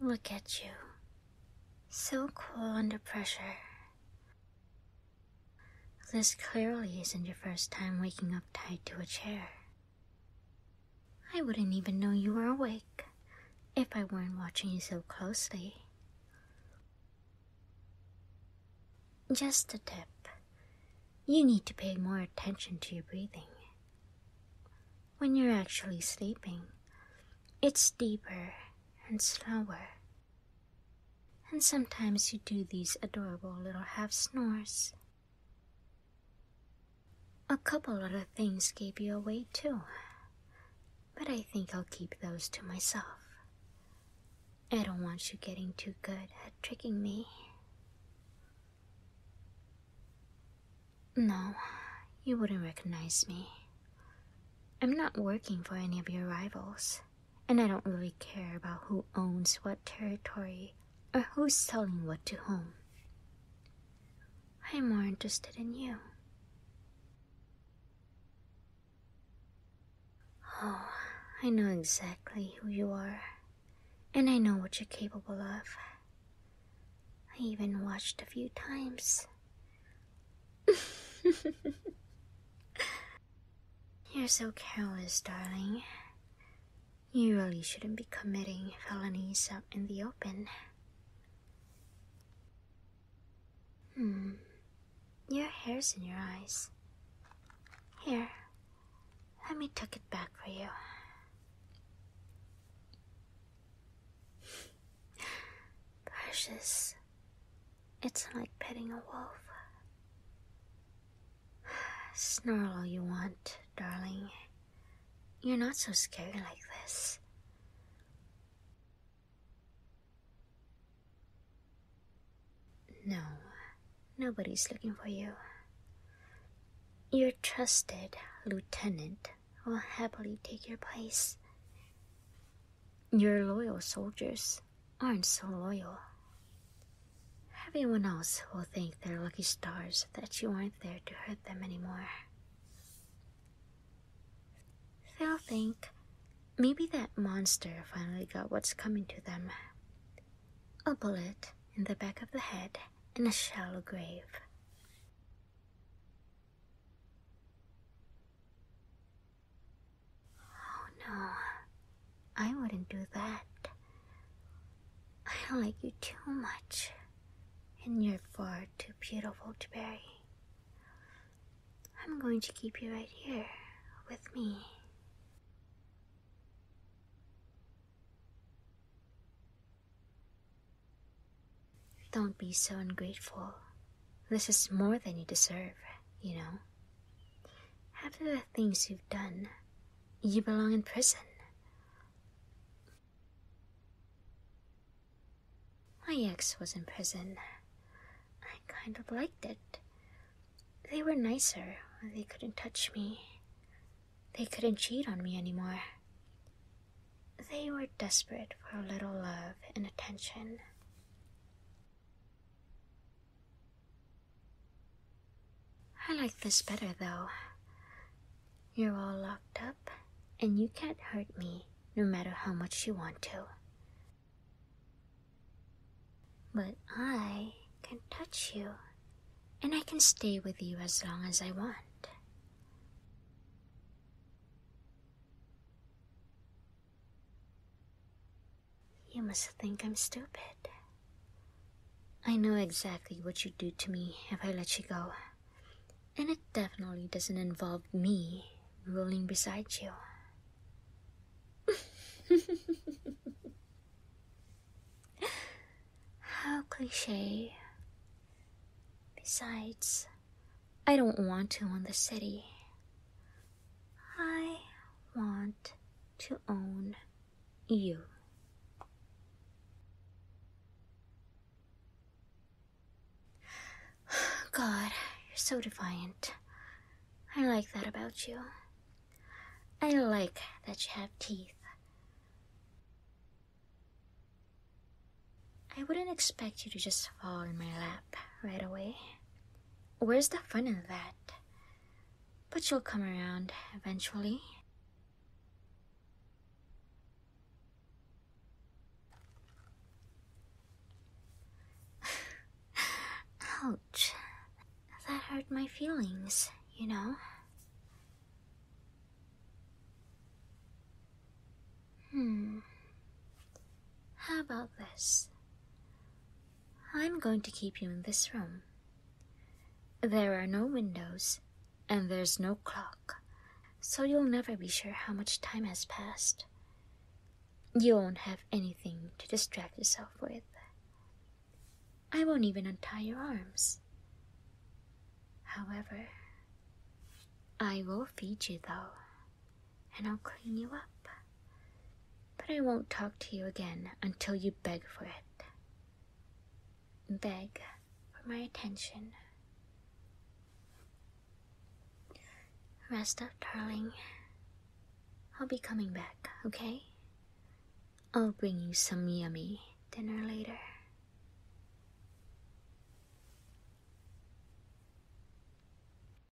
Look at you. So cool under pressure. This clearly isn't your first time waking up tied to a chair. I wouldn't even know you were awake if I weren't watching you so closely. Just a tip you need to pay more attention to your breathing. When you're actually sleeping, it's deeper and slower. And sometimes you do these adorable little half snores. A couple other things gave you away too, but I think I'll keep those to myself. I don't want you getting too good at tricking me. No, you wouldn't recognize me. I'm not working for any of your rivals, and I don't really care about who owns what territory or who's selling what to whom. I'm more interested in you. Oh, I know exactly who you are, and I know what you're capable of. I even watched a few times. you're so careless, darling. You really shouldn't be committing felonies out in the open. Hmm. Your hair's in your eyes. Here, let me tuck it back for you. Precious, it's like petting a wolf. Snarl all you want, darling. You're not so scary like this. No, nobody's looking for you. Your trusted lieutenant will happily take your place. Your loyal soldiers aren't so loyal. Everyone else will think they're lucky stars that you aren't there to hurt them anymore. They'll think maybe that monster finally got what's coming to them a bullet in the back of the head in a shallow grave. Oh no, I wouldn't do that. I don't like you too much and you're far too beautiful to bury. I'm going to keep you right here with me. Don't be so ungrateful. This is more than you deserve, you know. After the things you've done, you belong in prison. My ex was in prison. I kind of liked it. They were nicer. They couldn't touch me. They couldn't cheat on me anymore. They were desperate for a little love and attention. I like this better, though. You're all locked up, and you can't hurt me no matter how much you want to. But I can touch you, and I can stay with you as long as I want. You must think I'm stupid. I know exactly what you'd do to me if I let you go. And it definitely doesn't involve me rolling beside you. How cliche. Besides, I don't want to own the city. I want to own you. God, you're so defiant. I like that about you. I like that you have teeth. I wouldn't expect you to just fall in my lap right away. Where's the fun in that? But you'll come around eventually. Ouch. That hurt my feelings, you know. Hmm. How about this? I'm going to keep you in this room. There are no windows, and there's no clock, so you'll never be sure how much time has passed. You won't have anything to distract yourself with. I won't even untie your arms. However, I will feed you though and I'll clean you up. But I won't talk to you again until you beg for it. Beg for my attention. Rest up, darling. I'll be coming back, okay? I'll bring you some yummy dinner later.